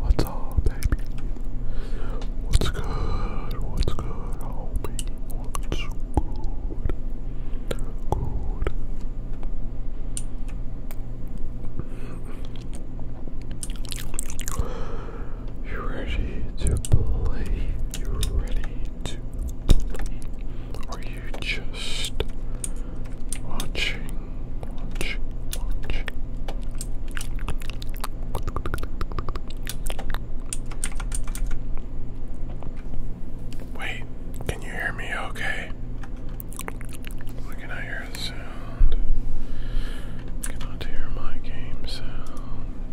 What's up, baby? What's good? What's good, homie? What's good? Good. You're ready to play. You're ready to Are you just watching? Watching, watching. Wait, can you hear me okay? I hear the sound. cannot hear my game sound.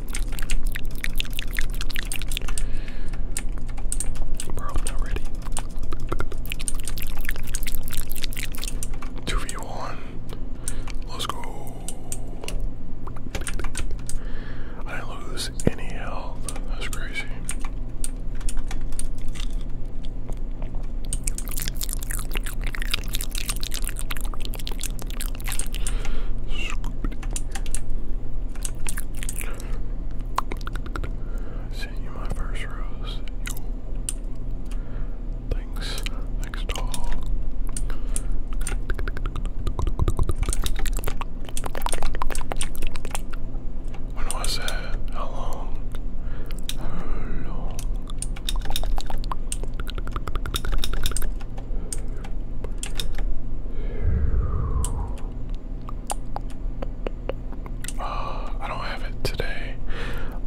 Bro, I'm not ready. 2v1. Let's go. I lose any health. That's crazy sent you my first rose. Yo. Thanks. Thanks, dog. When was that? How long? How long? Uh, I don't have it today.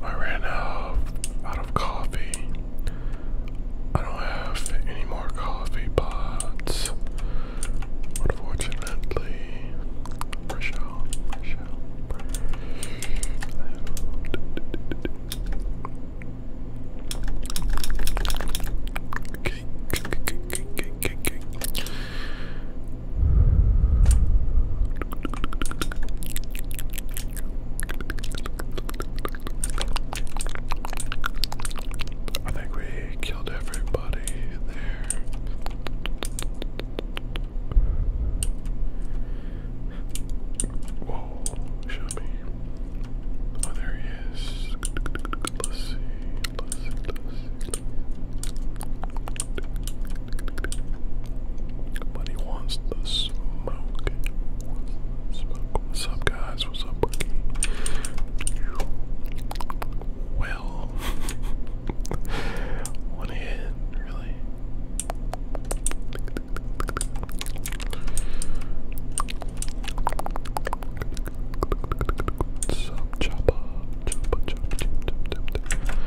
I ran out of, out of coffee. I don't have any more coffee pots. Unfortunately, Okay, I think we killed everybody there. Whoa, show Oh, there he is. Let's see. let he wants the smoke. What's up, guys? What's up, Well, one really. Some chopper, chopper, chopper, chopper, chopper.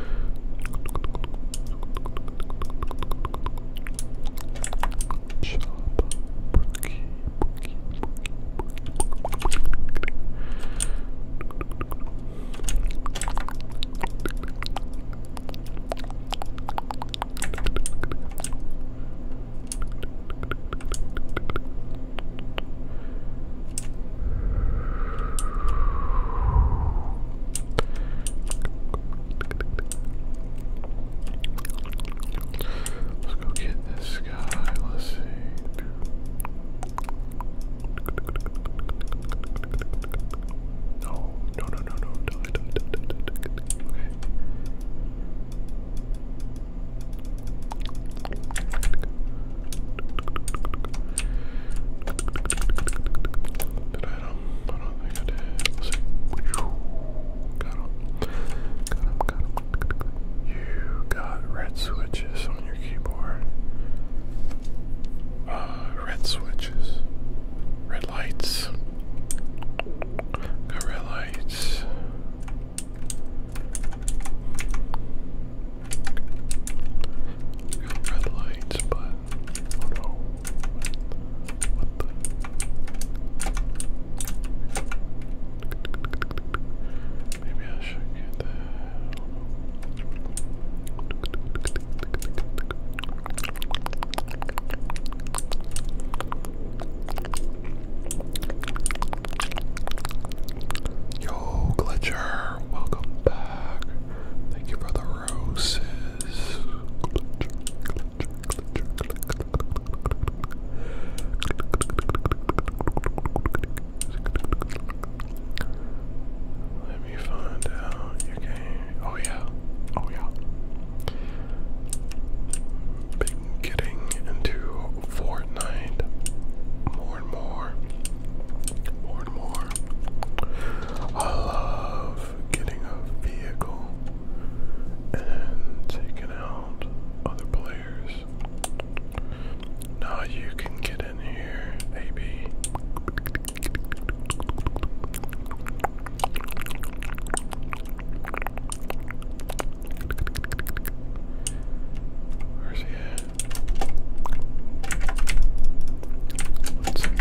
Chopper, bookie, bookie, bookie, bookie. Chopper, Let's go get this guy. Let's see. No, no, no, no, no. Okay. You got red switches on your keyboard. Uh, red switches. Red lights. red lights. Got red lights, but oh no. What, what the? Maybe I should get that. Oh no. Yo, Glitcher, welcome back. Thank you for the roses. Let me find out your game. Oh, yeah. Oh, yeah been getting into Fortnite more and more. More and more. I love getting a vehicle and taking out other players. Now you can get in here, AB. Where's he at? Let's see.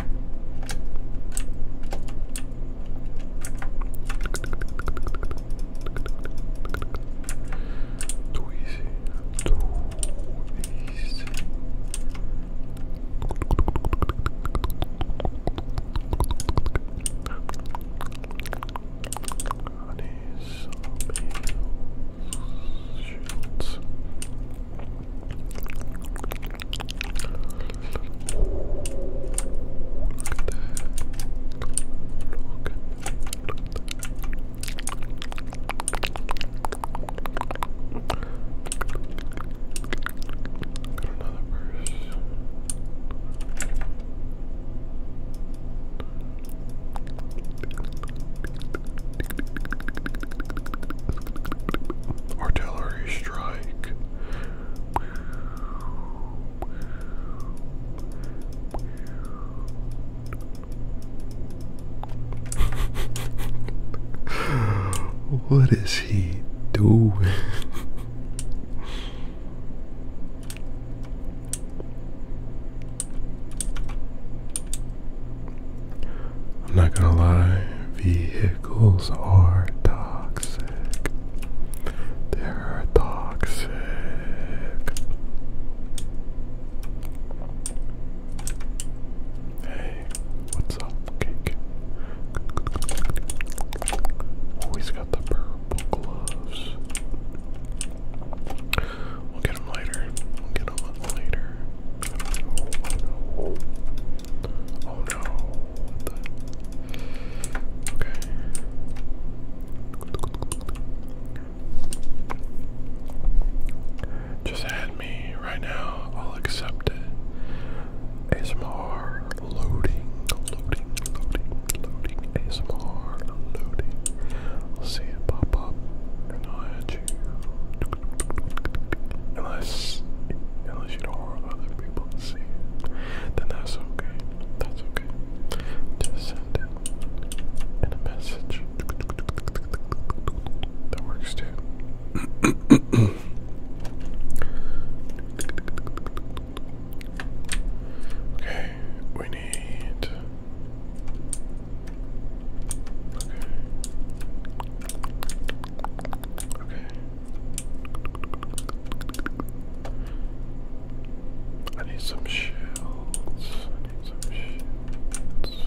Too easy. Too easy. Bodies, shields. Look at that. Look. Got another verse. Artillery strike. what is he doing? I'm not gonna lie, vehicles are toxic. They're toxic. Hey, what's up, cake? Always the purple gloves. We'll get them later. We'll get them later. Oh no. Okay. Just add me right now. I'll accept it. ASMR loading, loading. Loading ASMR, loading. I'll see it pop up, I'll you. Unless, unless you don't want other people to see then that's okay. That's okay. Just send it in a message. That works too. Okay, we need. Okay. Okay. I need some shells. I need some shields.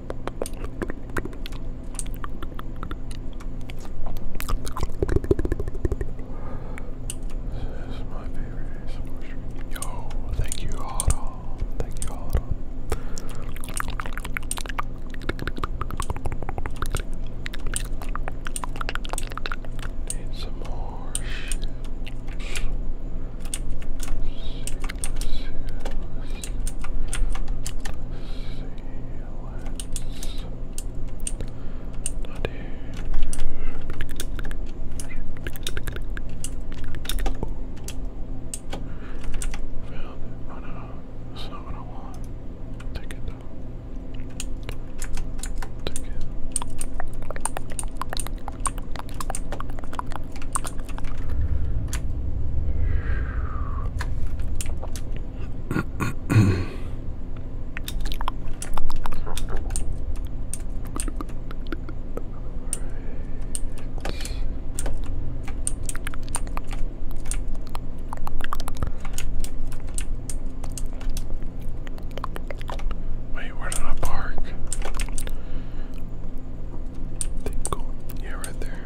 Yo, thank you, Otto. Thank you, Otto. Need some more shit. Found it. Oh no, that's not what I want. Take it though. Take it. Wait, where did park? Yeah, right there.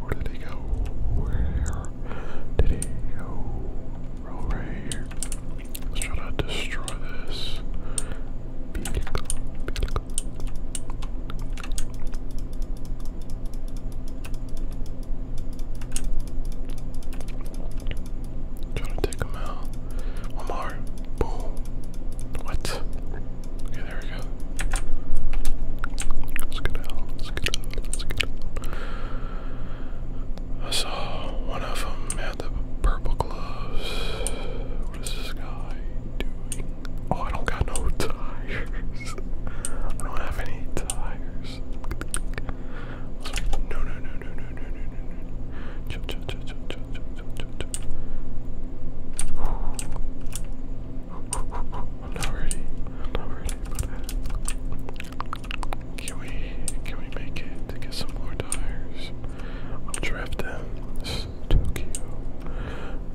Where did he go? Where did he go? Oh, right here. let to destroy this. Trying to take him out. One more. Boom. What? Okay, there we go. Let's get out, let's get out, let's get out. I saw one of them had the purple gloves. What is this guy doing? Oh, I don't got no tires. I don't have any tires. No, no, no, no, no, no, no, no, no. Chill, chill, chill, chill, chill, chill, chill, chill, chill. I'm not ready. I'm not ready uh, Can we can we make it to get some more tires? i Tokyo.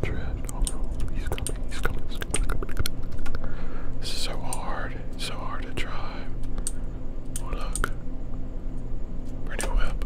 Drift. Oh no, he's coming, he's coming, he's coming, This is so hard. so hard to drive. Oh, look. Pretty whip.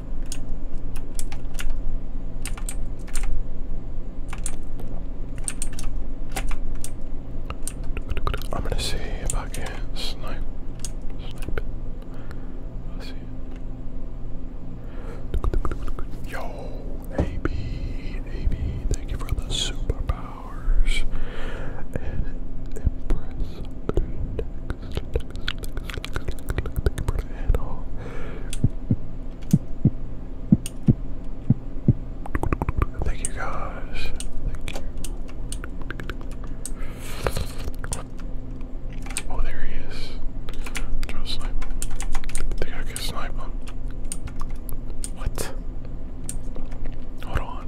I'm gonna see if I can snipe. Snipe. let see. Yo, AB, AB, thank you for the superpowers. And impress. Thank you guys. Thank you. Oh, there he is. i to snipe him. I think I snipe him. What? Hold on.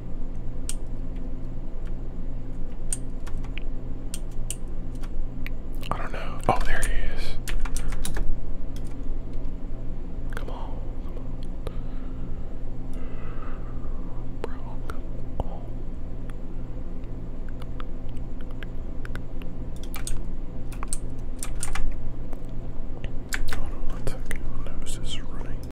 I don't know. Oh, there he is. Come on, Bro, come on. Hold on one second. My nose is running.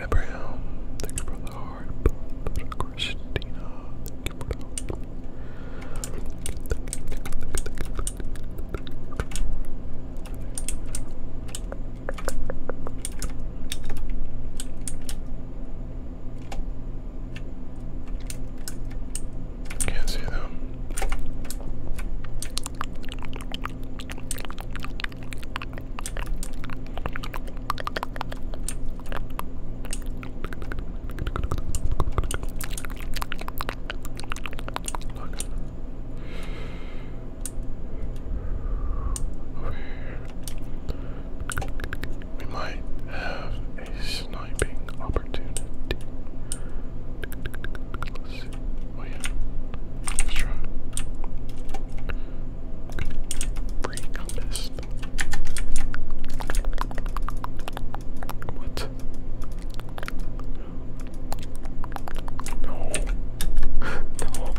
Abraham, thank you for the heart. Christina, can't see them. Look. Over here. We might have a sniping opportunity. Oh yeah. Let's try. Free compass. What? No. no.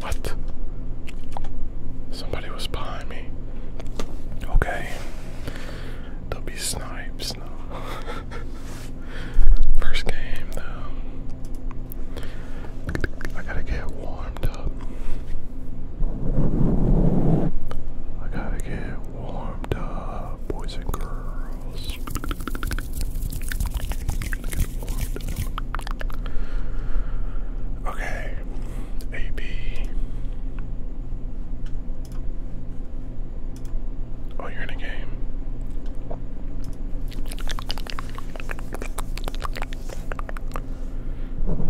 What? Somebody was behind me. Okay. There'll be snipes First game though. I gotta get warmed up. I gotta get warmed up boys and girls. Okay, AB. Oh, you're in a game.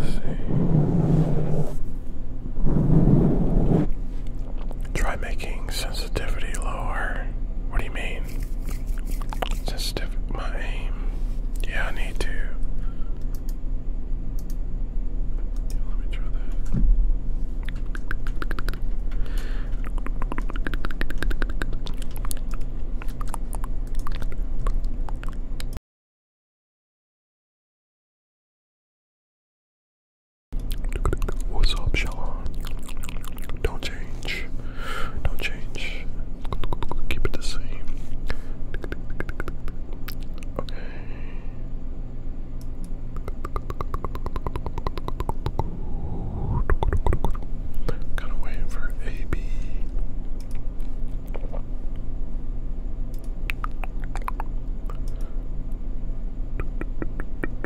see. Try making sensitivity lower. What do you mean? Just stiff my aim. Yeah, I need to. let me try that. What's up, Sean? Don't change. Don't change. Keep it the same. Kind of waiting for AB.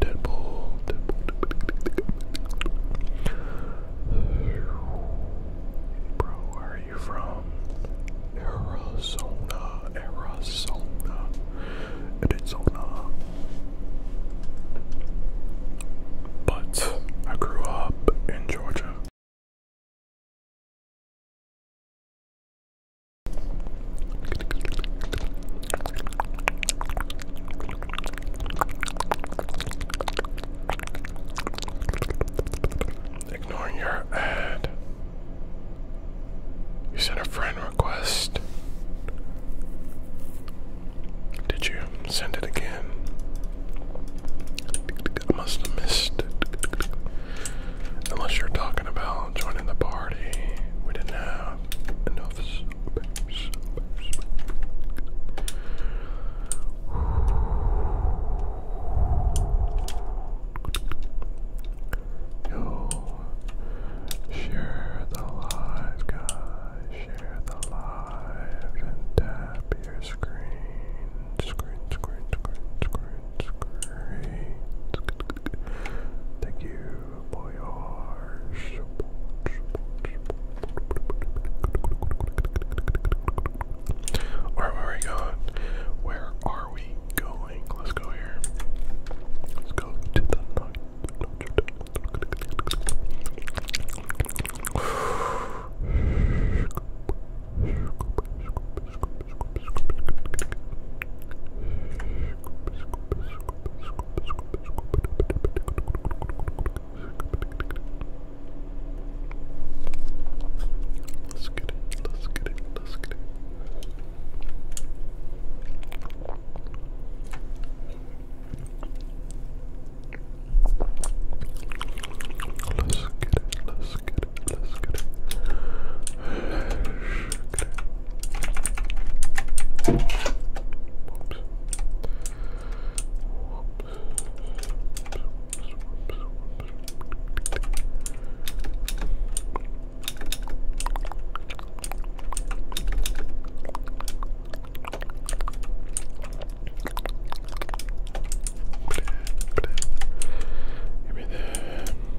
Deadpool, Deadpool. Bro, where are you from? Arizona, Arizona, Arizona. But I grew up in Georgia. Ignoring your ad. You sent a friend request. Did you send it again? I must have missed it. Unless you're talking about joining the party. We didn't have enough share the live, guys. Share the live and tap your screen. Screen, screen, screen, screen, screen. Thank you. Where are we going? Where are we going? Let's go here. Let's go to the Let's get it, let's get it, let's get it. Let's get it, let's get it, let's get it. Let's get it. Whoops. Give me the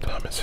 Thomas,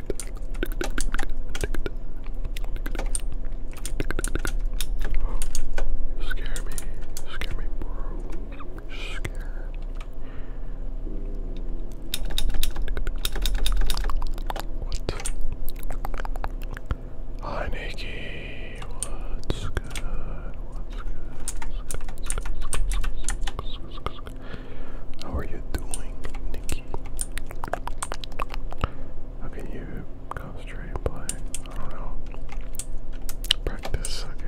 scare me. scare me, bro. scare What? Hi, Nikki. What's good? What's good? How are you doing, Nikki? Okay, you concentrate I don't know. Practice, I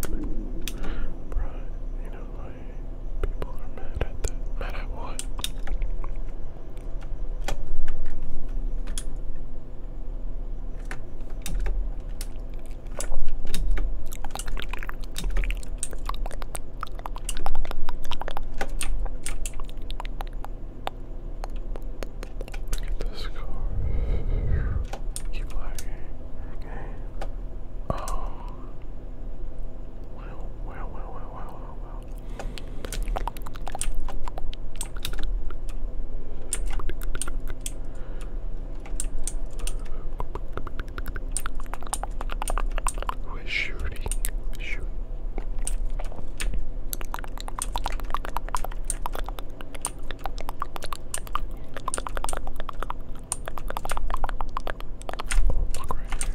Bruh, you know, like, people are mad at that. Mad at what? Look at this car. Keep lagging. Okay. Oh. Wow, wow, wow, wow, wow, wow, we're shooting. We're shooting. Oh, look right here.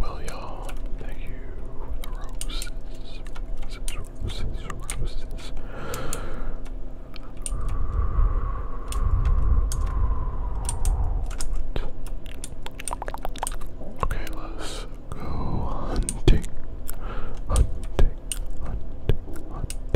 William, thank you for the roses. Roses, roses, roses. What? Okay, let's go hunting. Hunting, hunting, hunting.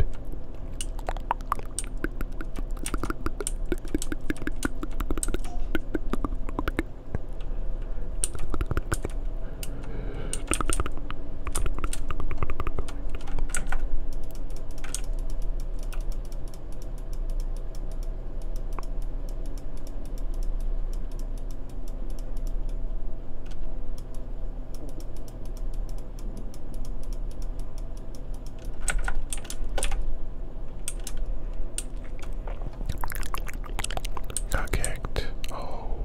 Not kicked. Oh,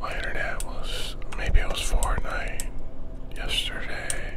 my internet was maybe it was four yesterday.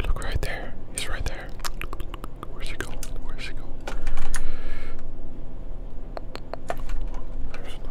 Look right there. He's right there. Where's he going? Where's he going? There's no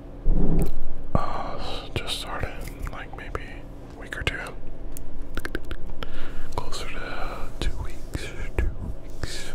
Uh, just started like maybe a week or two. Closer to two weeks. Two weeks.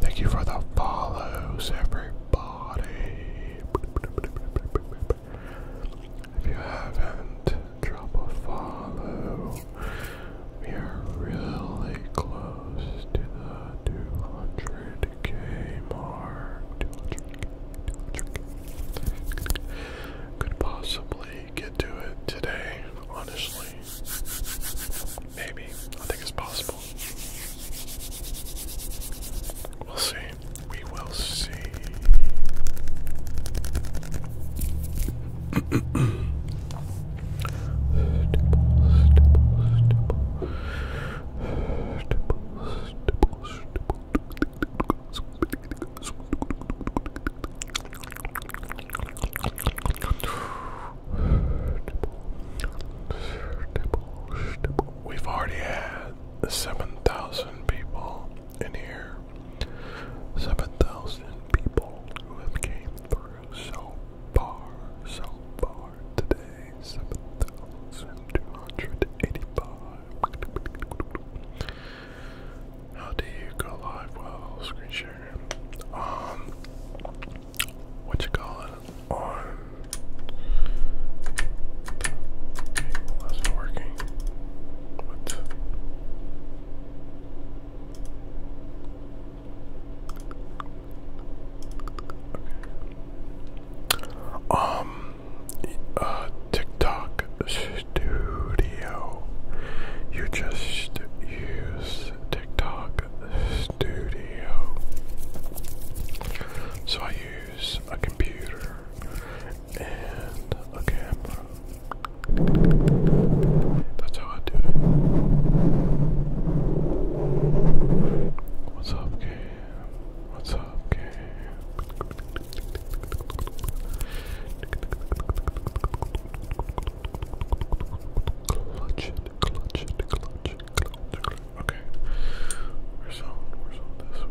Thank you for the follows, everybody. If you haven't, drop a We are really close to the 200k Could possibly get to it today, honestly. Maybe. I think it's possible. We'll see. We will see. We've already had 7,000 people in here. 7,000 people who have came through so far, so far today. 7,285. How do you go live? Well, screen share. Um, what you call it? On. not working. What? Um, TikTok Studio. You just use TikTok Studio. So I use a computer and a camera. That's how I do it. What's up, game? What's up, game? Okay, we're selling, we're selling this way.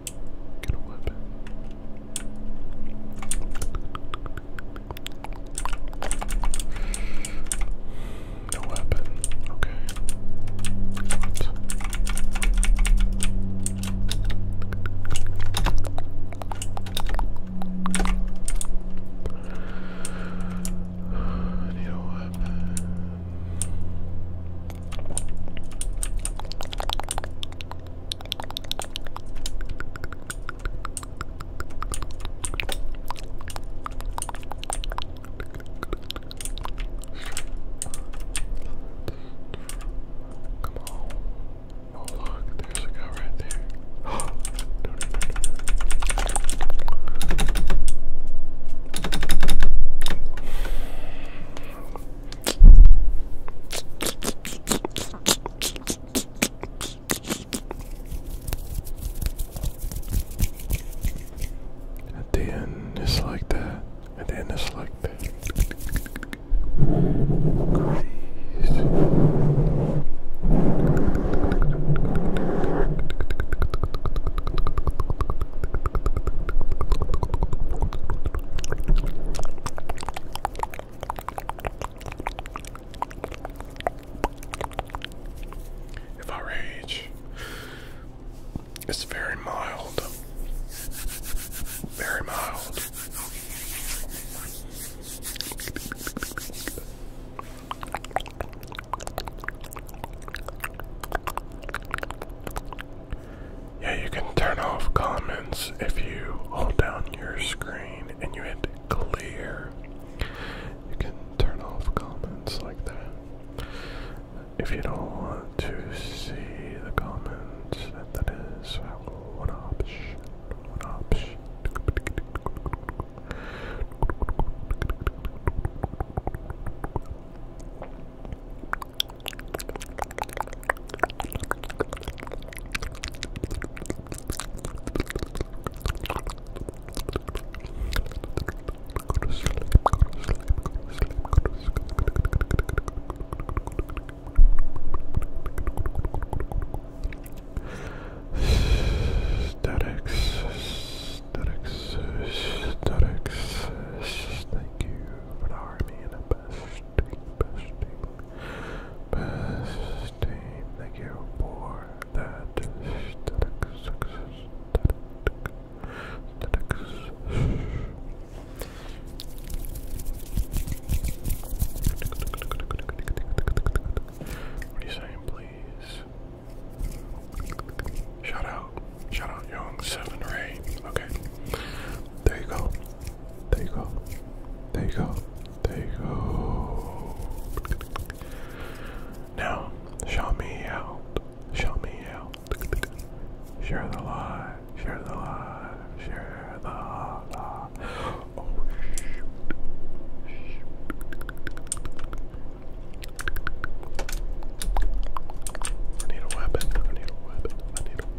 Get a weapon. No weapon. Okay. What? I need a weapon. Come on. Oh look, there's a guy right there. no, no, no, no. At the end, it's like that. At the end, it's like that. Grease. If I rage, it's very mild, very mild. Yeah, you can turn off comments if you hold down your screen and you hit clear. You can turn off comments like that. If you don't want to see the comments, that is one option. One option. Statics, statics, statics. Thank you for the army and the best besting, besting, Thank you for that What are you saying, please? Shout out, shout out, Young Seven Ray. Okay, there you go. There you go. There you go. There you go. Now, show me out. Show me out. Share the live. Share the live. Share the live. Oh, shoot. I need a weapon. need a weapon. need a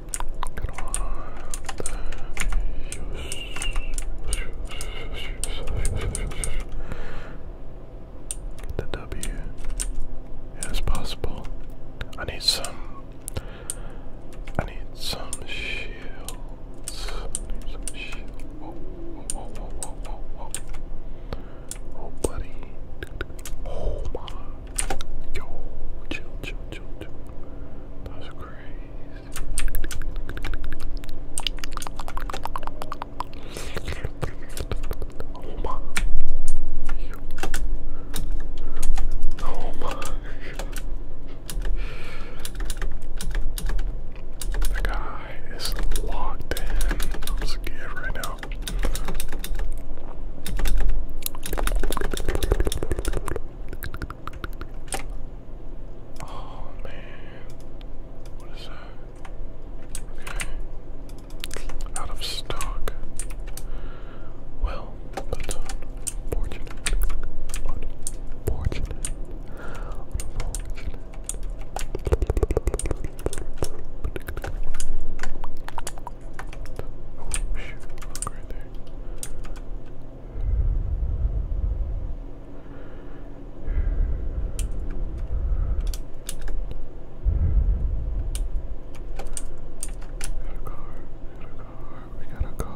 Get the W as possible. I need some. I need some shields. Oh, buddy. Oh, Yo, chill, chill, chill, chill. That's crazy. Oh my. Oh my. The guy is locked in. I'm scared right now. Oh man, what is that? Okay, out of stock. Well, that's uh, Unfortunate. Unfortunate. Oh shoot, look right there. We got a car, we got a car, we got a car.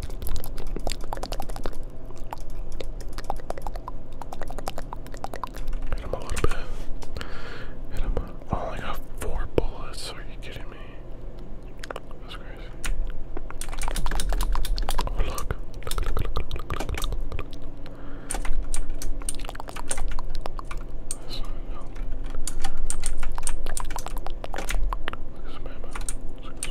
Hit him a little bit. Hit him oh, I got four bullets. Are you kidding me? That's crazy. Oh, look. Look, look, look, look, look, look, look. Look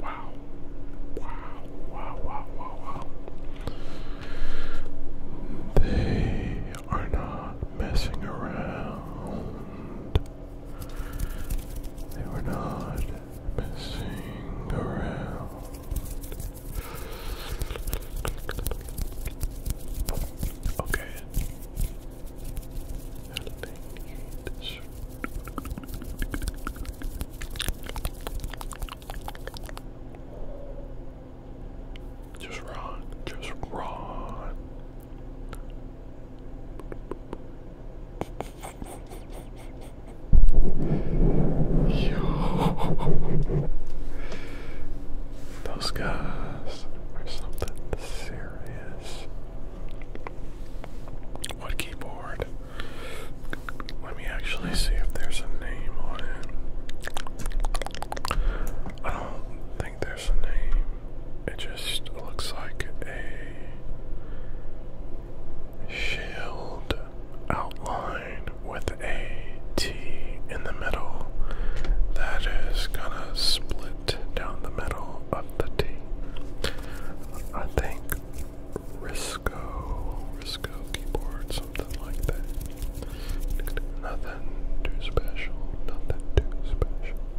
Wow. Wow, wow, wow, wow, They are not messing around. They were not messing around. Okay. Just run, just run. Those guys are something serious. What keyboard? Let me actually see if there's a name on it. I don't think there's a name. It just looks like a Shield outline with a T in the middle that is gonna split down the middle of the T. I think Risco, Risco keyboard, something like that. Nothing too special, nothing too special.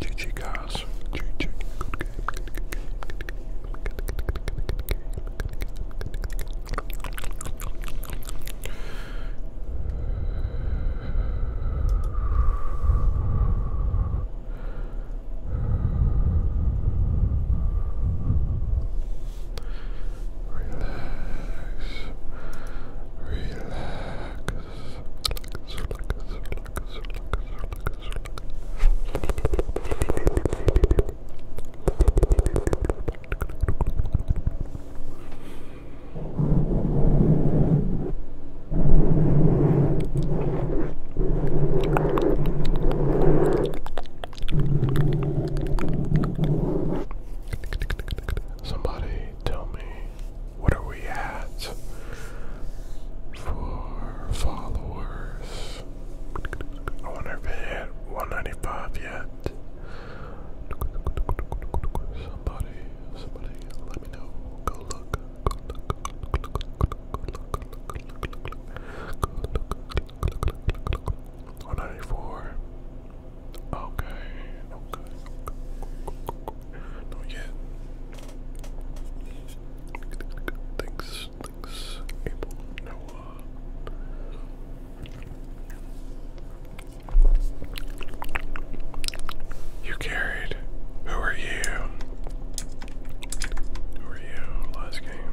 GG guys. GG. Good game. Good game. Good game. Good game. Good game. Relax, relax, Somebody tell me what are we at? For followers. I wonder if it hit 195 yet. Somebody, somebody, let me know. Go look. Go Okay. Okay. Not yet. Thanks, thanks, April, Noah. Uh, you carried. Who are you? Who are you? Last game.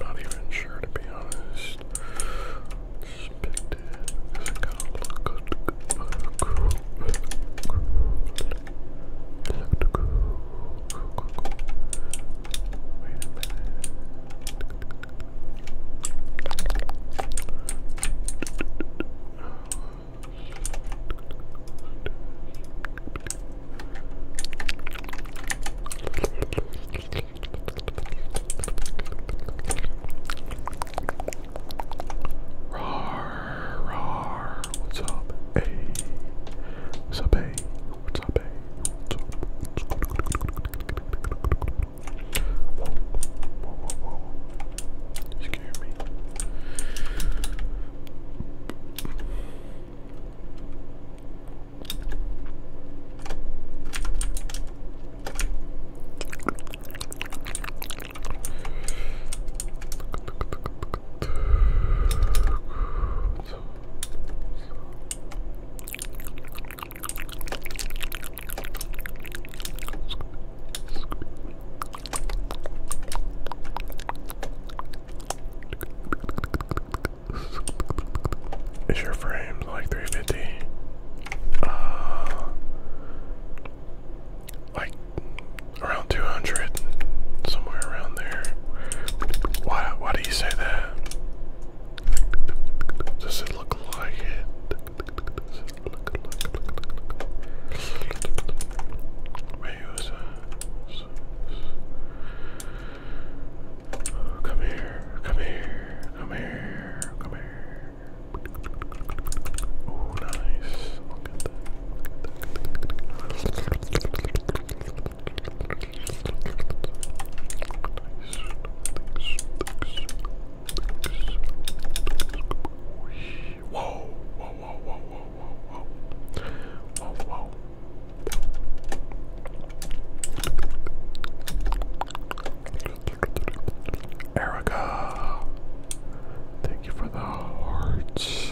Not even sure to be honest. Just picked it. look good? It looked cool. Cool, cool, What's up? Hey. What's up, hey? What's up, baby? What's up? What's up? Whoa, whoa, whoa, whoa. You scared me. Is your frame like 350? Uh, like around 200, somewhere around there. Why, why how do you say that? Does it look like it? come here, come here, come here, come here. Oh, nice. Whoa, whoa, whoa, whoa, whoa, whoa, whoa, whoa, whoa. Erica, thank you for the hearts.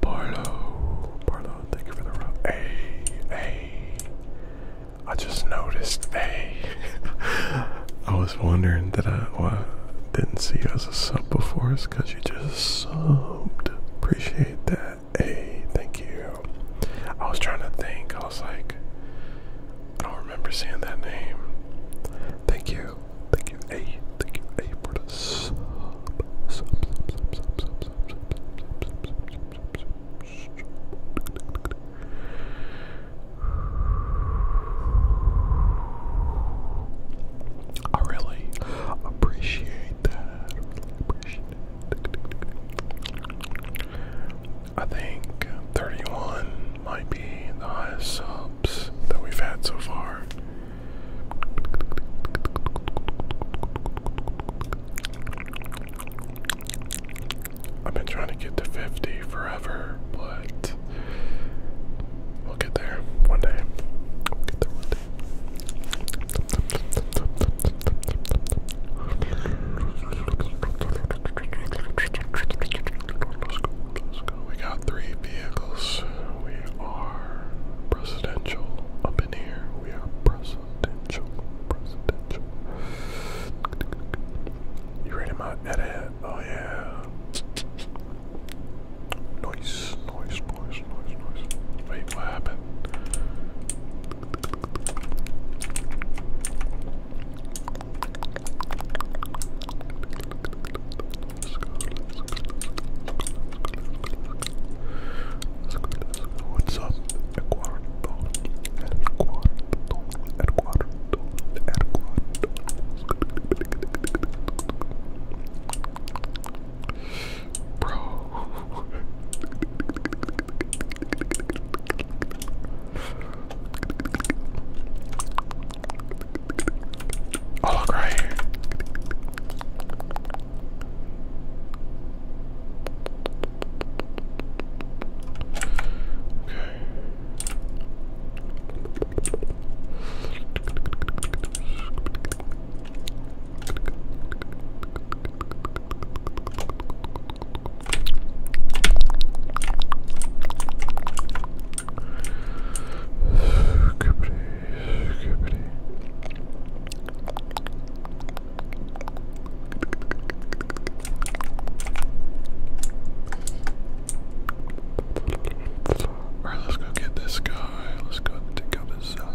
Barlow, Barlow, thank you for the route. Hey, hey. I just noticed, hey. I was wondering that I didn't see you as a sub before, because you just subbed. Appreciate that. A, thank you. I was trying to think. I was like, I don't remember seeing that name. Thank you. Thank you, A. Thank you, A, for the sub. Sub, sub, sub, sub, sub, sub, sub, sub, sub, sub, sub, I really appreciate that. I think 31 might be the highest subs that we've had so far. I've been trying to get to 50 forever, but We'll get there one day. we got three vehicles. We are presidential up in here. We are presidential. Presidential. You ready, my edit? Oh yeah. Noise, noise, noise, noise, noise. Wait, what happened? Let's go, let's go, let's go, let's go. What's up? El cuarto, el cuarto, el cuarto, el cuarto. Bro. Oh, look right here. Okay. Alright, let's go get this guy. Let's uh,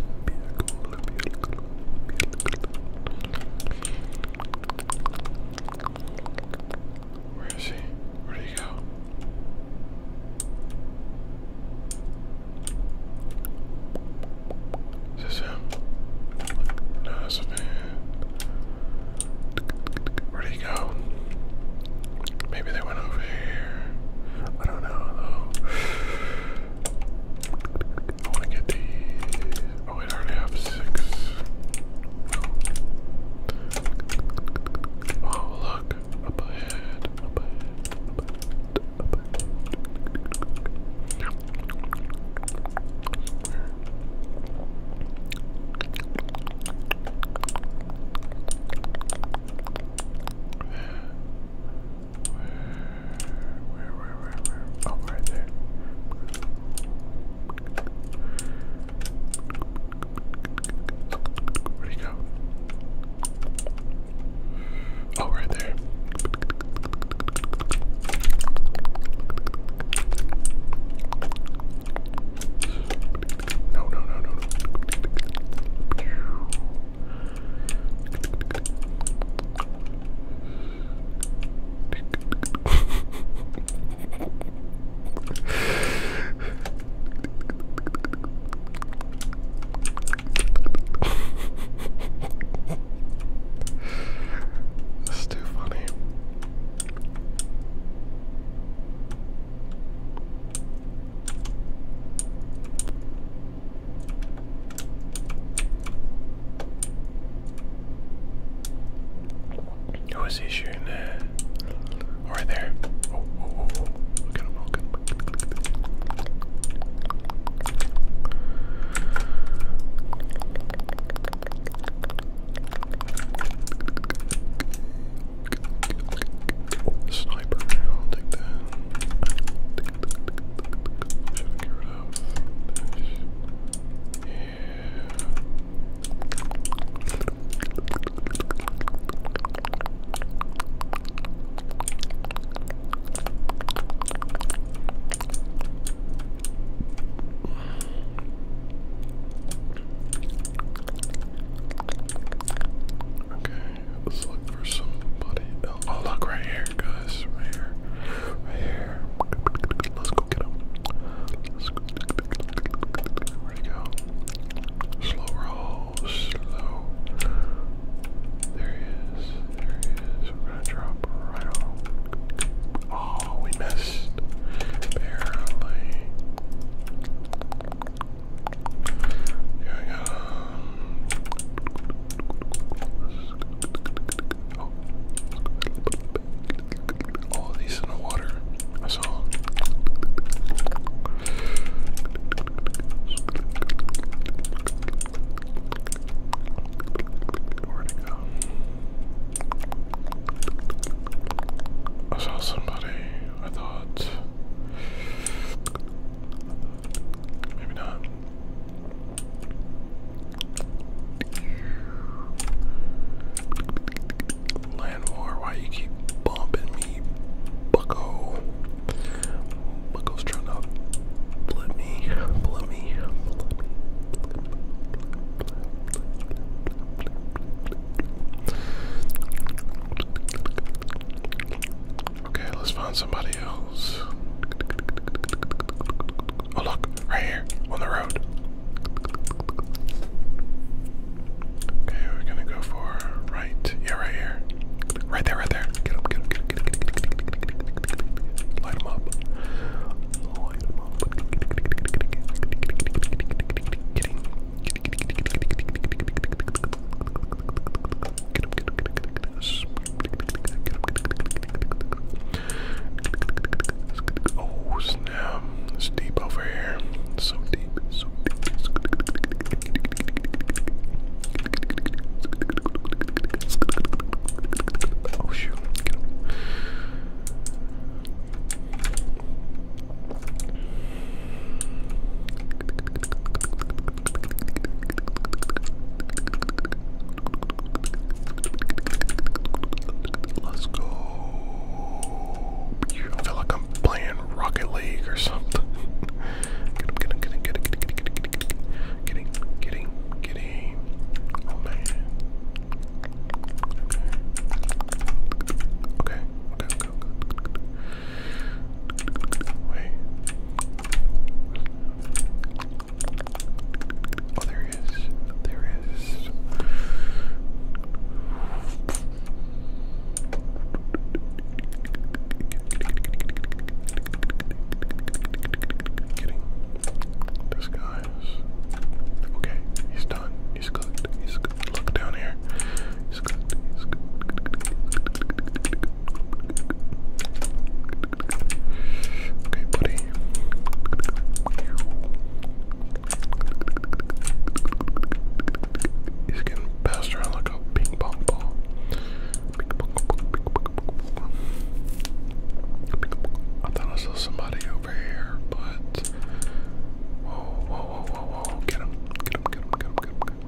Where is he? Where did he go? Is this him? No, that's a Where'd he go? Maybe they went over here. I don't know though. I want to get these. Oh, I already have six. Oh, look. Up ahead. Up ahead. Up ahead. Where, where, where, where? Oh, right there. Where'd he go? Oh, right there. No, no, no, no, no. That's too funny. Who is he shooting oh, there? there. Oh, oh, at Sniper, I'll take that. Should I get rid of this? Yeah. Okay. Let's look for somebody else. Oh, look right here, guys. Right here. Right here. Let's go get him. Where'd he go? Slow roll. Slow. There he is. There he is. We're gonna drop right on. Oh, we missed. Barely. Yeah, yeah. Oh. All of these in the water. I saw. Where'd go? I saw somebody. I thought. Maybe why you keep bumping me, bucko? Bucko's trying to blip me, blip me, blip me. Okay, let's find somebody else. Oh, look, right here on the road. Okay, we're gonna go for right. Yeah, right here. Right there, right there. Light him up. Light him up. Oh snap! It's deep over here. It's so deep. It's so deep. It's so deep. Oh shoot! Get him. Let's go. I feel like I'm playing Rocket League or something. get him, get him, get him, get him, get him, Oh man. okay. Wait. Oh, there he is. There he is. Getting this guy's. Okay, he's done. He's good. He's good. Look down here. He's good. He's good. Okay, buddy. He's getting passed around like a ping pong ball. Ping pong, ping pong, ping pong. I thought I saw somebody over here, but whoa, whoa, whoa, whoa, whoa! Get him! Get him! Get him! Get him! Get him!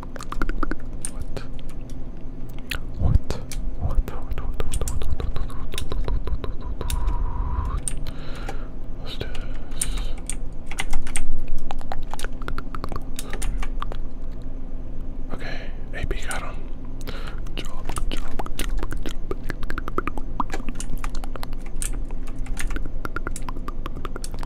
What? What? What? What's this? Okay, AP got him. Good job, good job, good job, good job.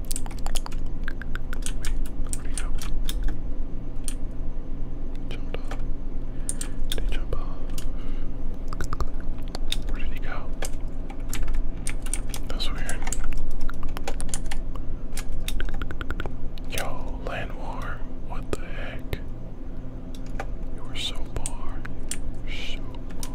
where'd he go? Jumped off. Did he jump off? Where did he go? That's weird. Yo, land what the heck? You were so far. so far.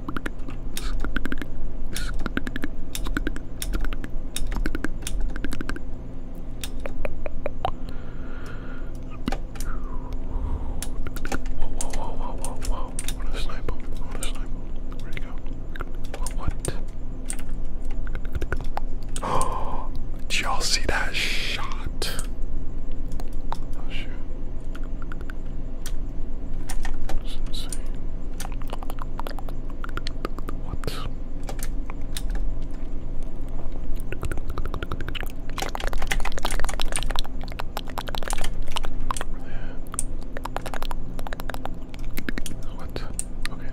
Whoa, whoa, whoa, whoa, whoa, whoa. I want to snipe him. I want to snipe him. Where'd he go? What? Oh, did y'all see that shot? Oh, shoot. What? Okay.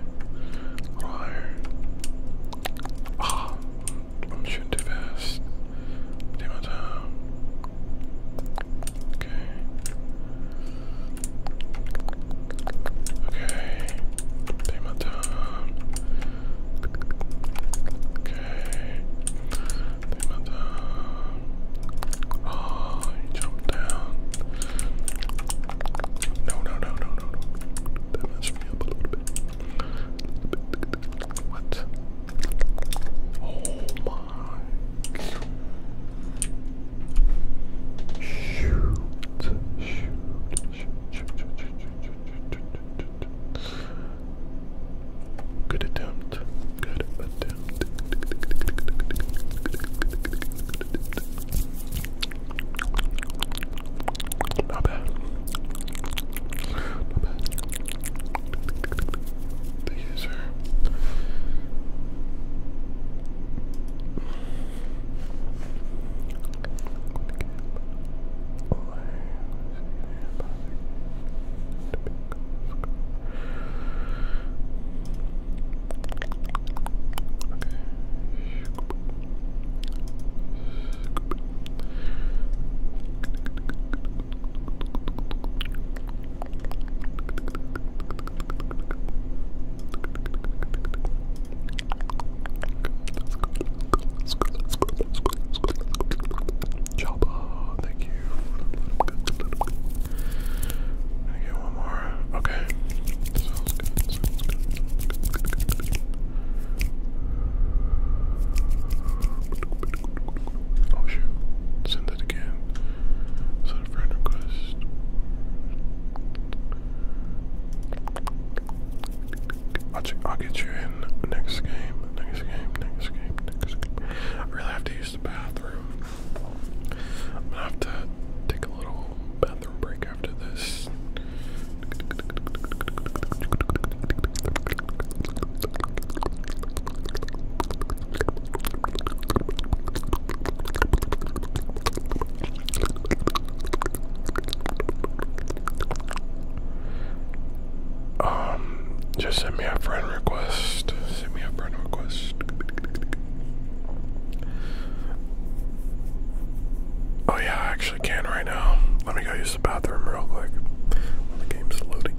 A Ah! I'm shooting fast. Damn it. Okay. Okay. Payment down. Okay. Payment down. Oh, he down. No, no, no, no, no, no. That messed me up a little bit. What? Oh my Good attempt. Good attempt. Not bad. Not bad the user. Okay. Jabba, thank you. I get one more. Okay. Sounds good. Sounds good. Sounds good. Good. Good. Good. Good. Good. Oh shoot. Send it again. Is a friend request? I'll, get you in next game, next game, next game, really have to use the bathroom. I'm gonna have to take a little bathroom break after this. Um, just send me a friend request. Send me a friend request. Oh yeah, I actually can right now. Let me go use the bathroom real quick. While the game's loading.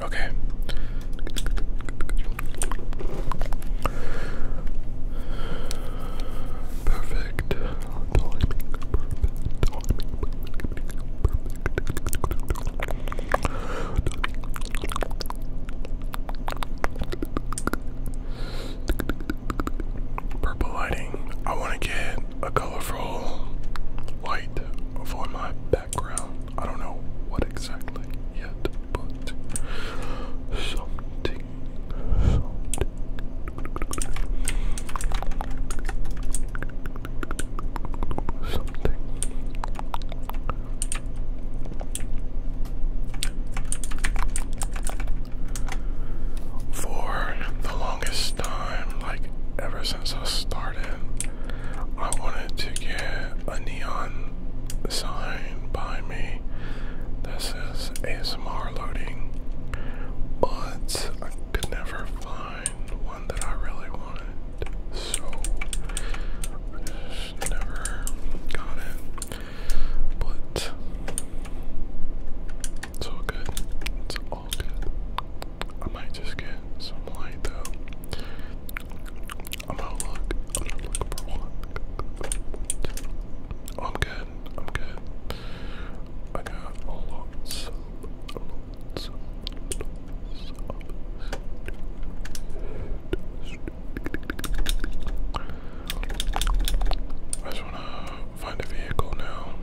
Okay. Perfect Purple lighting. I want to get a colorful light for my background. I don't know what exactly yet, but something, something. Something. For the longest time, like ever since as I started, I wanted to get a neon sign by me This is ASMR loading, but I could never find one that I really wanted, so never got it. But it's all good. It's I might just get some light though. I'm out of I'm looking for one. I'm good. I'm good. I got a lot of I just wanna find a vehicle now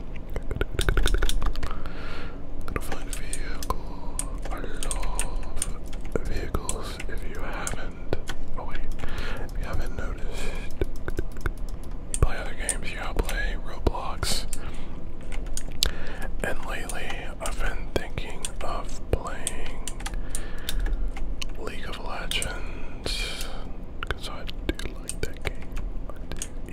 gonna find a vehicle. I love vehicles if you haven't. Oh, wait, you haven't noticed, play other games, yeah, I play Roblox. And lately, I've been thinking of playing League of Legends because I do like that game.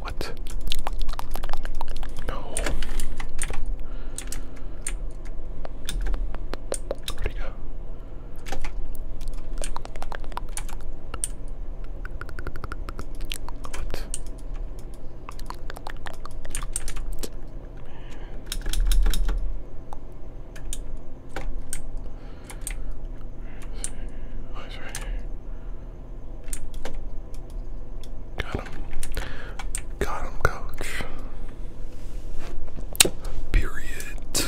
What? No. Where'd he go? What? He's right Got him. Got him, coach. Period. This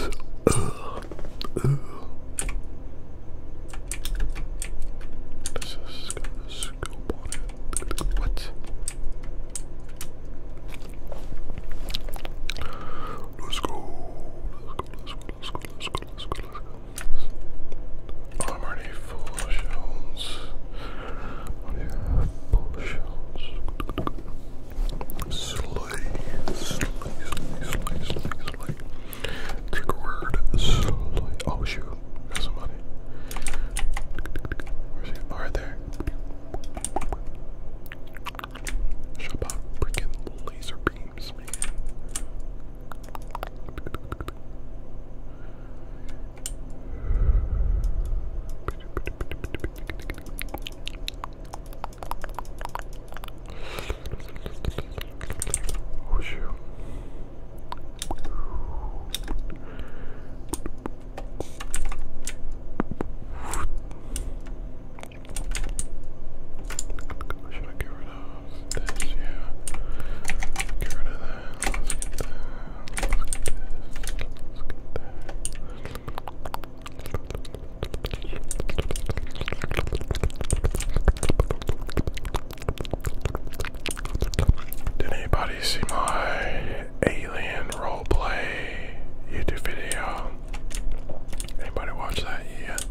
is got a scope on What? Let's go. Let's go. Let's go. Let's go. Let's go. Let's go. Let's go. I'm already full of shells. Yeah, full of shells. Slay, slay, slay, slay, slay, slay. Kick word, slay. Oh shoot, got somebody. Where's he? Oh, right there. Shut about freaking laser beams, man. Oh shoot. Should I get rid of this? Yeah. Get rid of that. Let's get that. Let's get that. Did anybody see my alien roleplay YouTube video. Anybody watch that yet?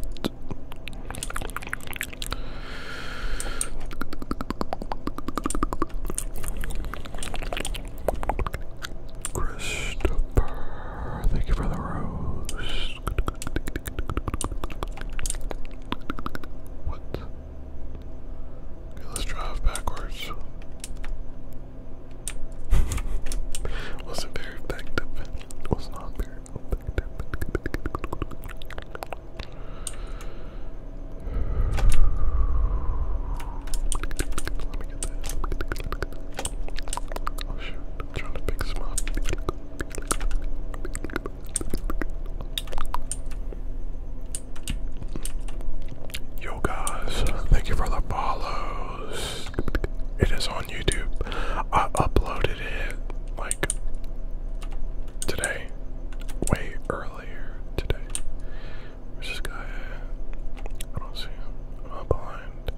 Christopher, thank you for the rose let's drive backwards. Wasn't very effective. Was not very effective. Let me get this. Oh, trying to pick some up. Yo guys, thank you for the follows. It is on YouTube. I uploaded it like today, way earlier today. Where's this guy? I don't see him. I'm blind.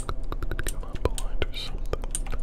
I'm not blind or something.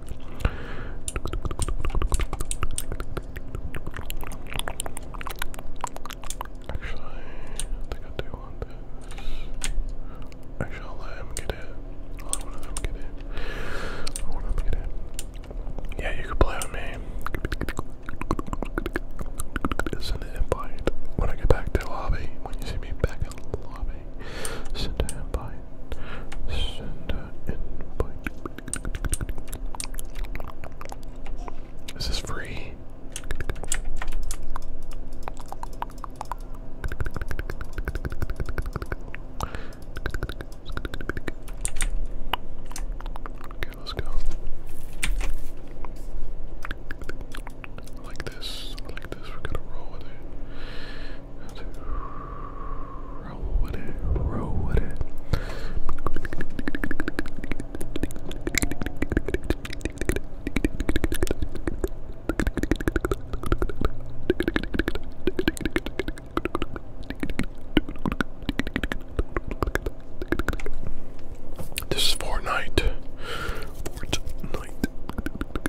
Actually, I think I do want this. I'll let him get it. I'll let one get it. I'll let one get it. Yeah, you can play with me. Send an invite when I get back to lobby. When you see me back in lobby me. Send an invite. Send an invite. Is free? Okay, let's go. like this. like this. We're gonna roll with it. Roll with it, roll with it. This is Fortnite. Fortnite.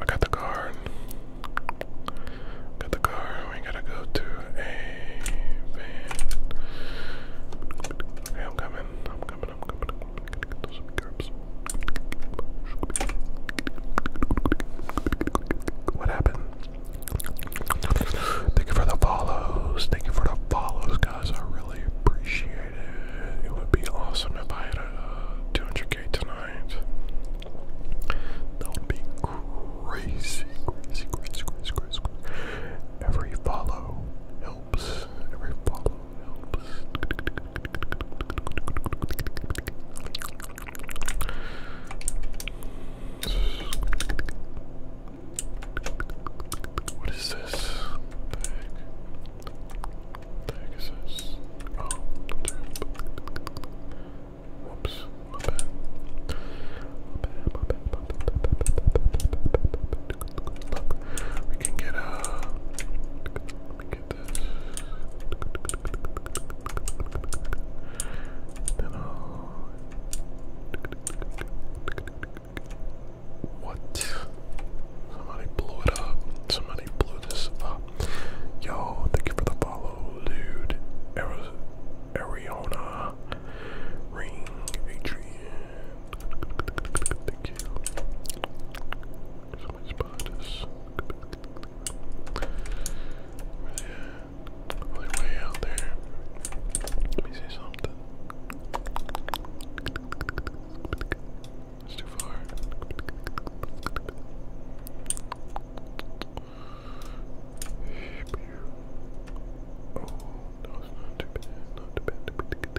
I got the card. Got the card. We gotta go to a am coming. I'm coming. What happened? Thank you for the follows. Thank you for the follows, guys. I really appreciate it. It would be awesome if I had a 200k uh, tonight. That would be crazy, crazy, crazy, crazy, crazy. crazy. Every follow helps. Every follow help us. What is this? The heck? The heck is this? Oh, whoops, my bad. My bad, my bad, my bad, my bad, my bad, my bad, my bad, my bad. We can get uh let get this. what? Somebody blew it up. Somebody blew this up. Yo, thank you for the follow, dude. Ari Ariana Ring Adrian. Thank you. Somebody spotted us. way out there. Let me see something. It's too far. Oh, no, it's not too bad. Not Too bad.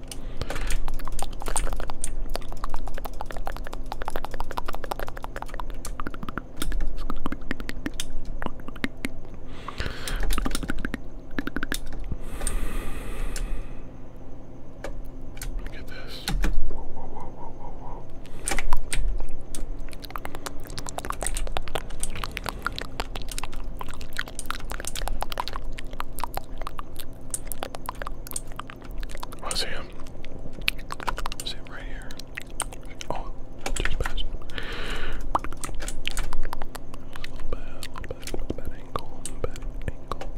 Look at this. Whoa, whoa, whoa, whoa, whoa, whoa. Oh, I see him. I see him right here. Oh, just passed. Little bad, little bad, little bad ankle, bad ankle,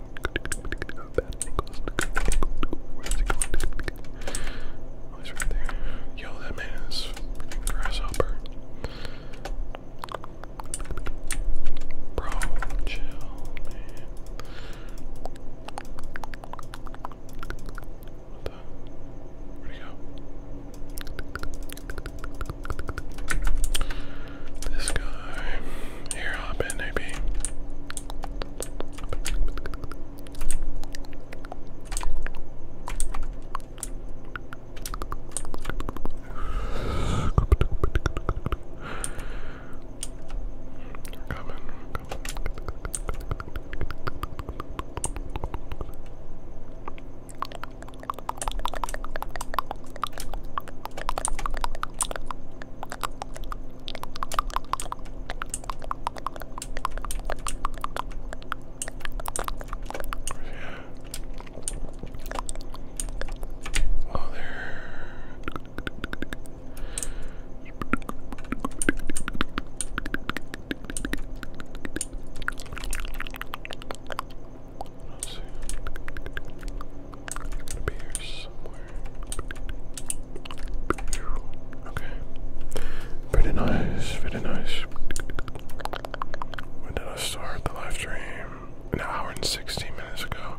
bad ankles. Where's he going? Oh, he's right there. Yo, that man is grasshopper. Bro, chill, man. What the? Where'd he go? This guy. Here, hop in, AP. We're coming, we're coming. Oh, there. Let's see. It's gonna be Okay. Pretty nice, pretty nice. When did I start the live stream? An hour and 16 minutes ago.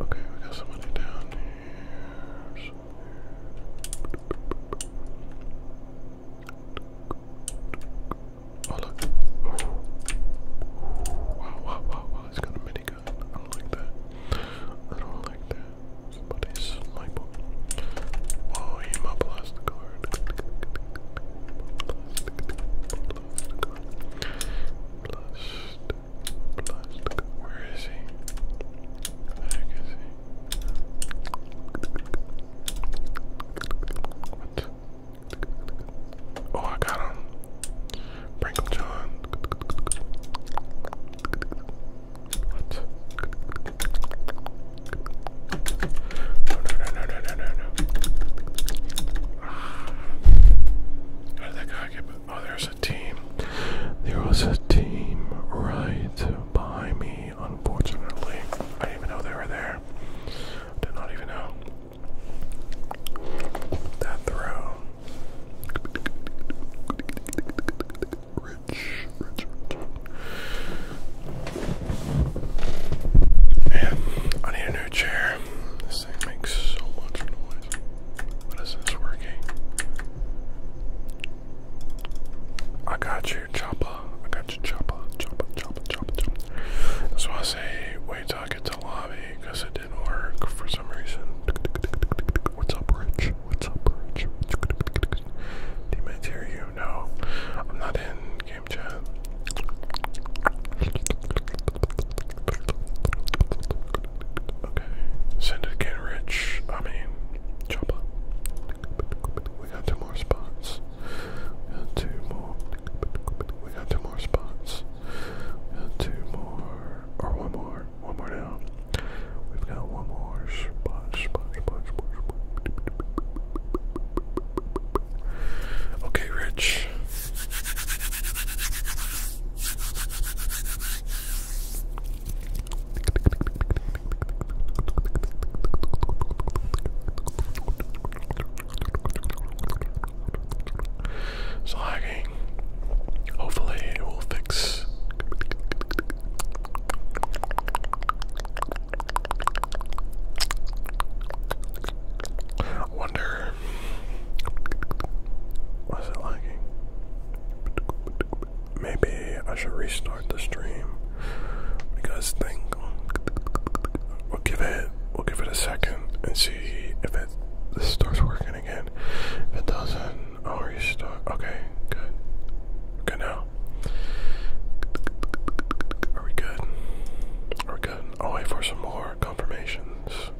Okay, we got somebody down here. Oh look! Oh. Wow, wow, wow, wow! He's got a minigun. I don't like that. I don't like that. Somebody's sniper. Whoa! He immobilized the guard. Blast Where is he? Where he? Oh, I got him. Brinkle John. What? No, no, no, no, no, no, no. Oh, there's a team. There was a team right behind me. Unfortunately, I didn't even know they were there. Did not even know that throw. Rich, rich, rich. Man, I need a new chair. This makes so much noise. What is this working? I got you, chopper. I got you, chopper. Chopper, chopper, chopper, chopper. That's I say wait till I get to lobby because it didn't work for some reason. What's up, Rich? What's up, Rich? Teammates hear you? No, I'm not in game chat. Okay, send it again, I mean, Choppa. We got two more spots. got two more. We got two more spots. got two more. Or one more. One more down. We've got one more spot. Okay, Rich. It's Hopefully, it will fix wonder was it lagging? Maybe I should restart the stream. What think? We'll give it we'll give it a second and see if it starts working again. If it doesn't, I'll restart. Okay, good. good now. Are we good? Are good? I'll wait for some more confirmations.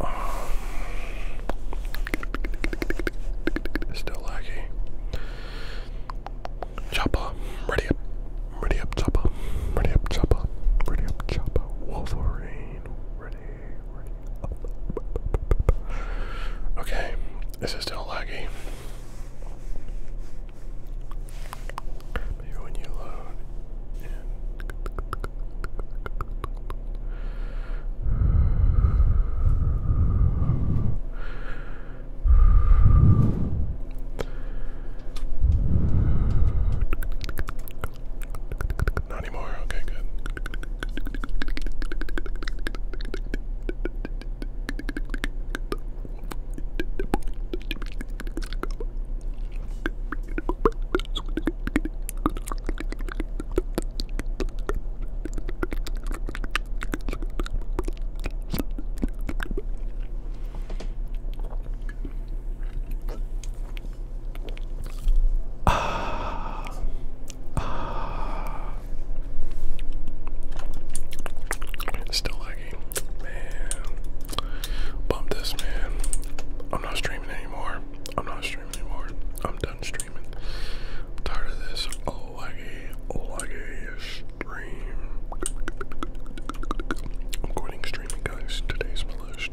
Um, still laggy. Chopper, ready up. Ready up chopper, ready up chopper, ready up chopper, Wolverine, ready, ready up. Okay, this is still laggy. Maybe when you load not anymore. Okay, good. Ah, ah. Still lagging, man. Bump this, man. I'm not streaming anymore. I'm not streaming anymore. I'm done streaming. I'm tired of this laggy, laggy stream. I'm quitting streaming, guys. Today's my last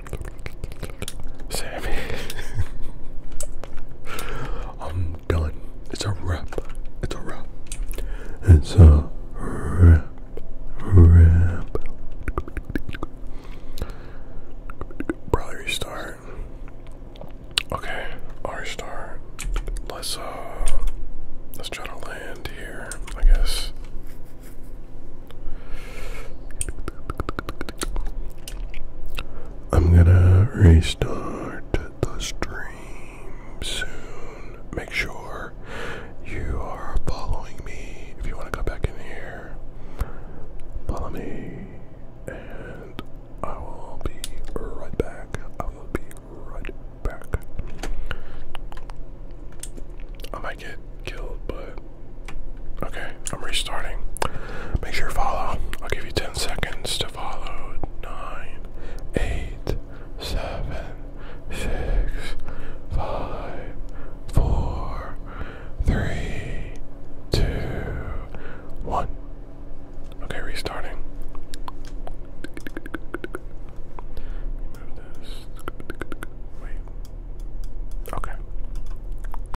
Sammy. I'm done. It's a wrap. It's a wrap. It's a wrap. Wrap. Probably restart. Okay, R star. Let's uh let's try to land here, I guess. I'm gonna restart the stream soon. Make sure you are following me if you want to go back in here. Follow me, and I will be right back. I will be right back. I might get killed, but Okay, I'm restarting. Make sure you follow. I'll give you 10 seconds to follow. Nine, eight, seven, six, five, four, three, two, one. Okay, restarting. Wait. Okay.